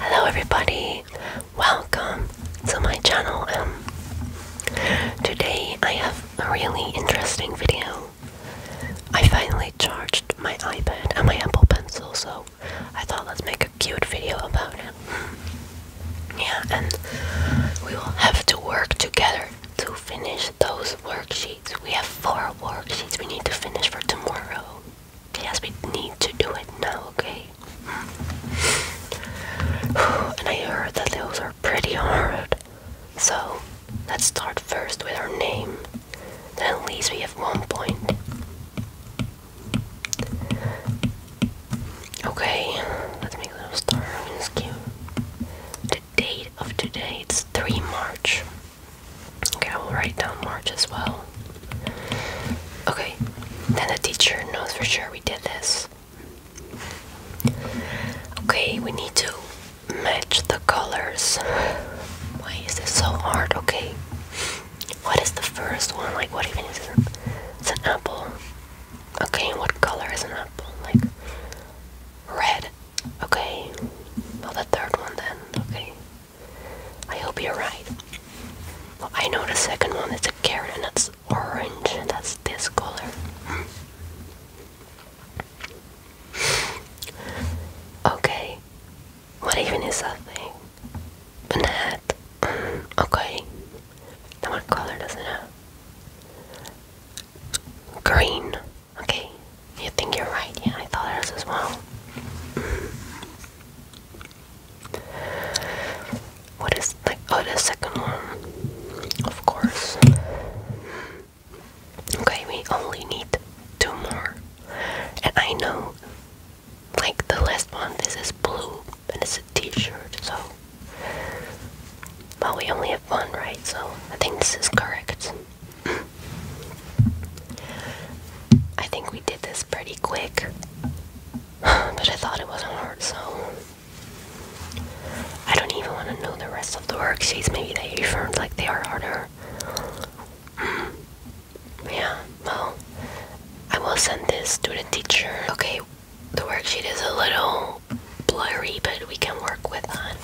Hello everybody, welcome to my channel. Um, today I have a really interesting video. I finally charged my iPad and my Apple Pencil, so I thought let's make a cute video about it. Yeah, and we will have to work together to finish those worksheets. We have four worksheets we need to finish for tomorrow. Yes, we need to do it now, okay? Hmm. and I heard that those are pretty hard. So, let's start first with our name. Then at least we have one point. Okay, let's make a little star on this cube. The date of today, it's 3 March. Okay, I will write down March as well. Okay, then the teacher knows for sure we did this. Okay, we need to match the colors. Why is this so hard? Okay, what is the first one? Like, what even is it? It's an apple. Okay, what color is an apple? Like, red. Okay, well, the third one then. Okay, I hope you're right. I know the second one It's a carrot and that's orange that's this color. Hmm. okay. What even is that thing? An hat. Hmm, okay. what color does it Green. Okay. You think you're right? Yeah, I thought it was as well. Hmm. What is like oh the second one? Of course. Okay, we only need two more. And I know like the last one this is blue and it's a t-shirt, so well we only have one, right? So I think this is correct. I think we did this pretty quick, but I thought it wasn't hard, so I don't even want to know the rest of the worksheets. Maybe they are affirmed like they are harder. Mm. Yeah, well, I will send this to the teacher. Okay, the worksheet is a little blurry, but we can work with that.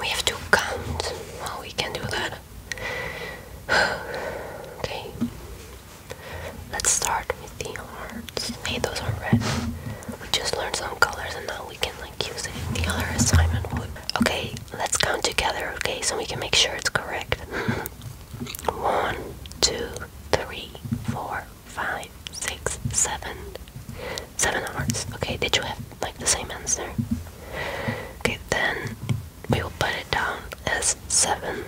We have to count. Well, oh, we can do that. okay. Let's start with the hearts. Hey, those are red. We just learned some colors and now we can like use it in the other assignment. Okay, let's count together, okay, so we can make sure it's correct. One, two, three, four, five, six, seven. Seven hearts. Okay, did you have like the same answer? Okay, then we will put it down as seven.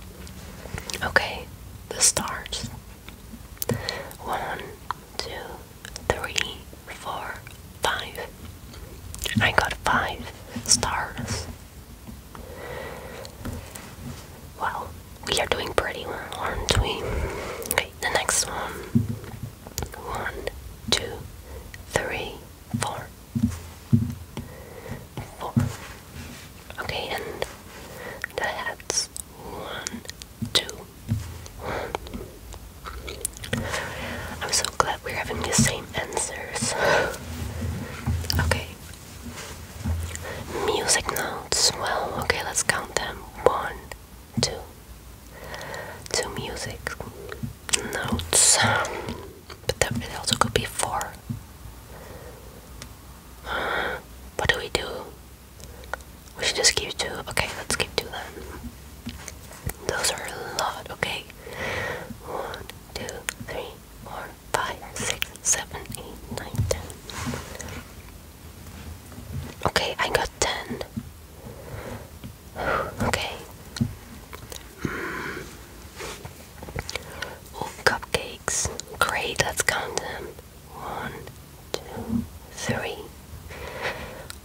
okay, the stars. One, two, three, four, five. I got five stars. Well, we are doing pretty well, aren't we? Okay, the next one. One, two, Okay, and the heads. One, two, one. I'm so glad we're having the same answers. okay. Music notes. Well, okay, let's count them. One, to to music notes, but that, also could be four. what do we do? We should just keep two. Okay, let's keep two then. Those are a lot. Okay, one, two, three, four, five, six, seven, eight, nine, ten. Okay, I got ten. Okay. Oh, cupcakes. Great, let's count them. One, two, three.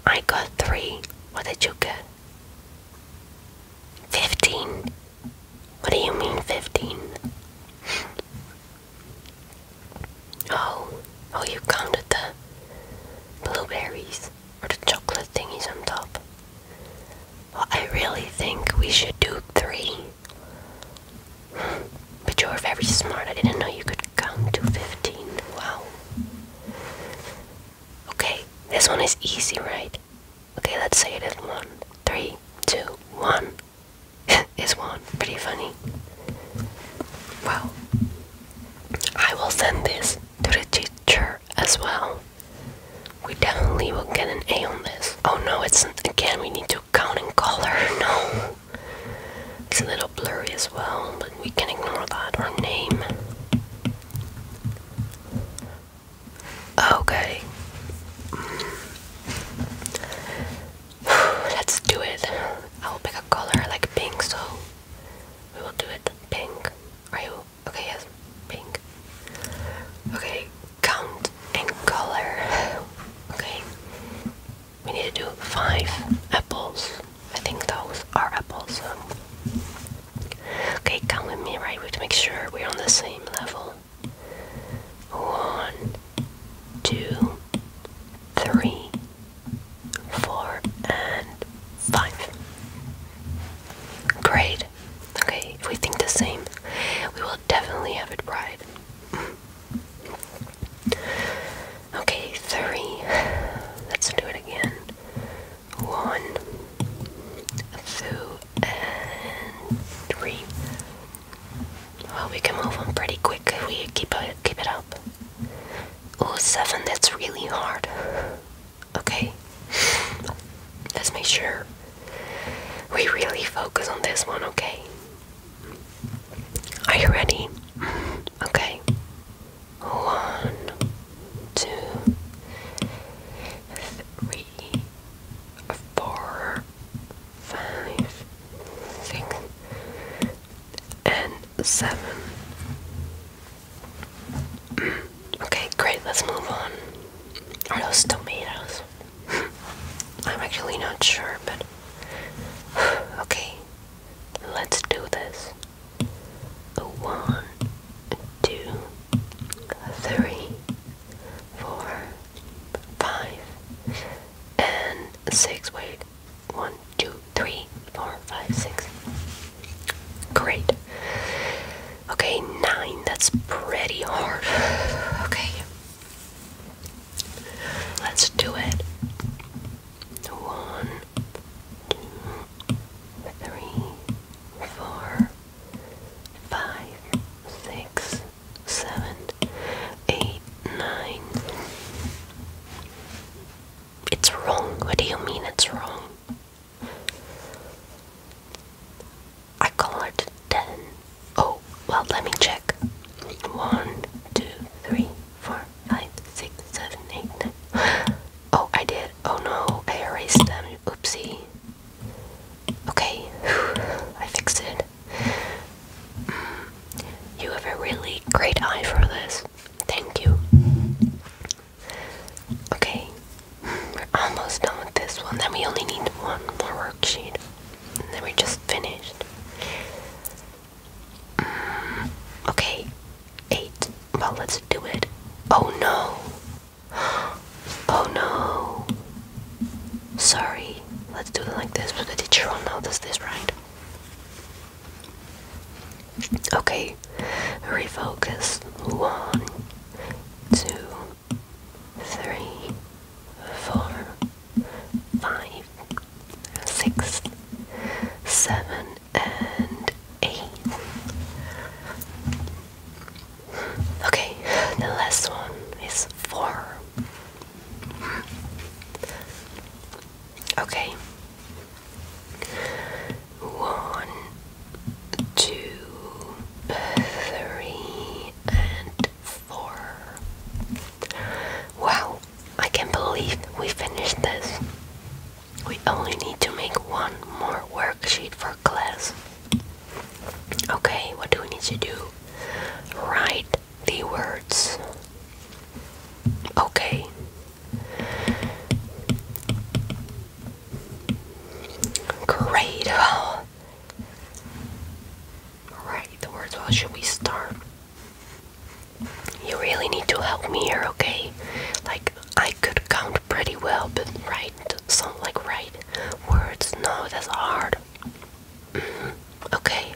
I got three. What did you get? Fifteen. What do you mean fifteen? Oh, oh, you counted the blueberries or the chocolate thingies on top. I really think we should do three. But you're very smart. I didn't know you could count to 15. Wow. Okay, this one is easy, right? Okay, let's say it is one, one, three, two, one. is one. Pretty funny. Wow. I will send this to the teacher as well. We definitely will get an A on this. Oh no, it's again, we need to count and color. No. It's a little blurry as well, but we can ignore that. Or name. Okay. Let's do it. I'll pick a color like pink so we will do it pink. Are you okay? Yes, pink. Okay, count and color. Okay, we need to do five apples. I think those are apples. Okay, count with me, right? We have to make sure we're on the same level. One, two, three, four, and five. Great. Okay, if we think the same, we will definitely have it right. Okay, three. Let's do it again. One, two, and three. Well, we can move on pretty quick we keep it, uh, keep it up. Oh, seven, that's really hard. Okay, let's make sure we really focus on this one, okay? Are you ready? Okay. One, two, three, four, five, six, and seven. Mm, okay, great, let's move on. Are those tomatoes? I'm actually not sure, but okay, let's do this. One, two, three, four, five, and six. Wait, one, two, three, four, five, six. Great. Okay, nine. That's pretty hard. Okay. Let's do it. One, two, three, four, five, six, seven, eight, nine. It's wrong. What do you mean it's wrong? I colored ten. Oh, well, let me check. One, two, three, four, five, six, seven, eight, nine. Oh, I did. Oh no, I erased them. Oopsie. Okay, I fixed it. You have a really great eye for this. Thank you. Okay, we're almost done with this one. Then we only need one more worksheet. And then we're just finished. Mm, okay, eight. Well, let's do it. Oh no! Oh no! Sorry, let's do it like this, but the teacher will notice this, right? Okay, refocus. One, two, three, four, five, six, seven, and eight. Okay, the last one is four. Okay. One, two, three, and four. Wow, I can't believe we finished this. We only need to make one more worksheet for class. Okay, what do we need to do? Write the words. Okay. Great. Well, the words. Well, should we start? You really need to help me here, okay? Like I could count pretty well, but right, some like right words. No, that's hard. Okay.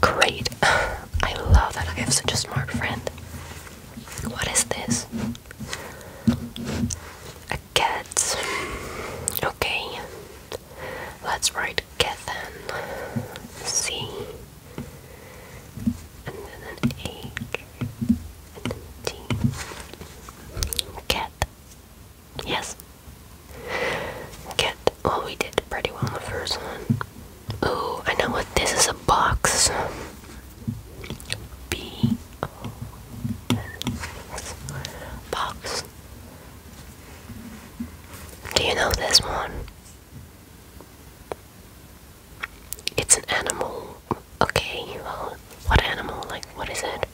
Great. I love that I have such a smart friend. What is this? A cat. Okay. Let's write cat C. And then an And T. Cat. Yes. Get. Well, we did pretty well on the first one. Oh, I know what this is a box. B O S box. Do you know this one? It's an animal. Okay, well, what animal? Like, what is it?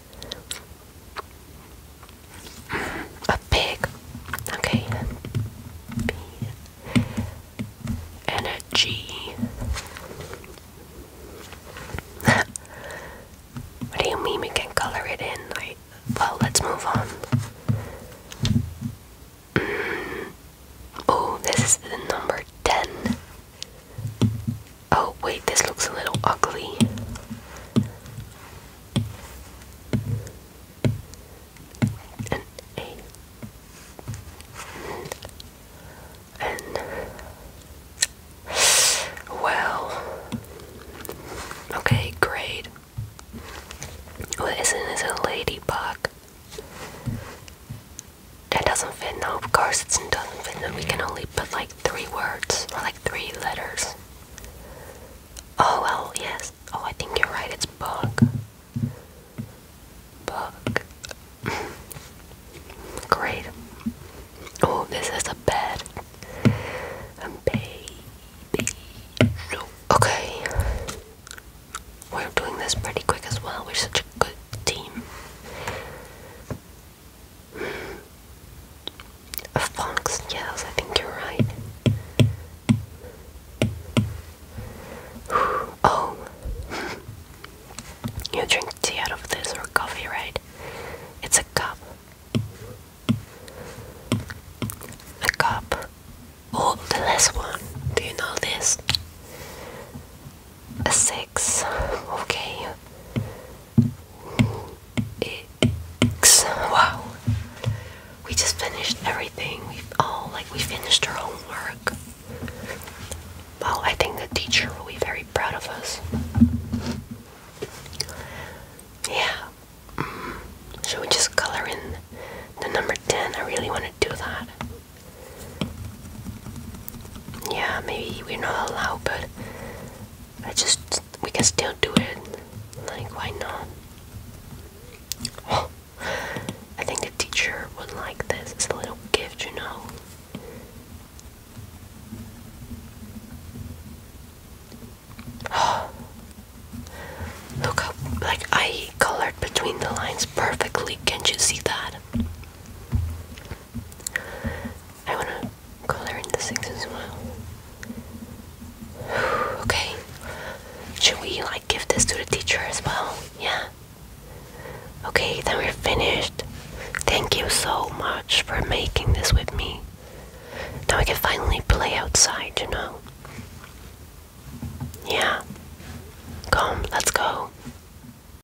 A pig. Okay. B. And a G. what do you mean we can color it in? well, let's move on. Oh, this is the number 10. Oh, wait, this looks a little ugly. An And well, okay, great. Well, isn't this a ladybug? That doesn't fit. No, of course it doesn't fit. And we can only put like three words or like three letters. Oh well, yes. Oh, I think you're right. It's book. Book. Great. Oh, this is a bed. And baby. Okay. We're doing this pretty quick as well. We're such a good team. Of punks, yes, I think you're right. Oh, you drink tea out of this or coffee, right? It's a cup. A cup. Oh, the last one. Do you know this? a six, okay. X, wow. We just finished everything. We all like we finished our homework. Wow, I think the teacher will be very proud of us. Yeah. Mm. Should we just color in the number 10? I really want to do that yeah, maybe we're not allowed, but I just we can still do it. Like, why not? I think the teacher would like this. It's a little gift, you know. look how like I colored between the lines perfectly. Can't you see that? I want to color in the six as well. okay. Should we like give this to the teacher as well? Yeah. Okay, then we're finished. Thank you so much for making this with me. Now we can finally play outside, you know. Yeah. Come, let's go.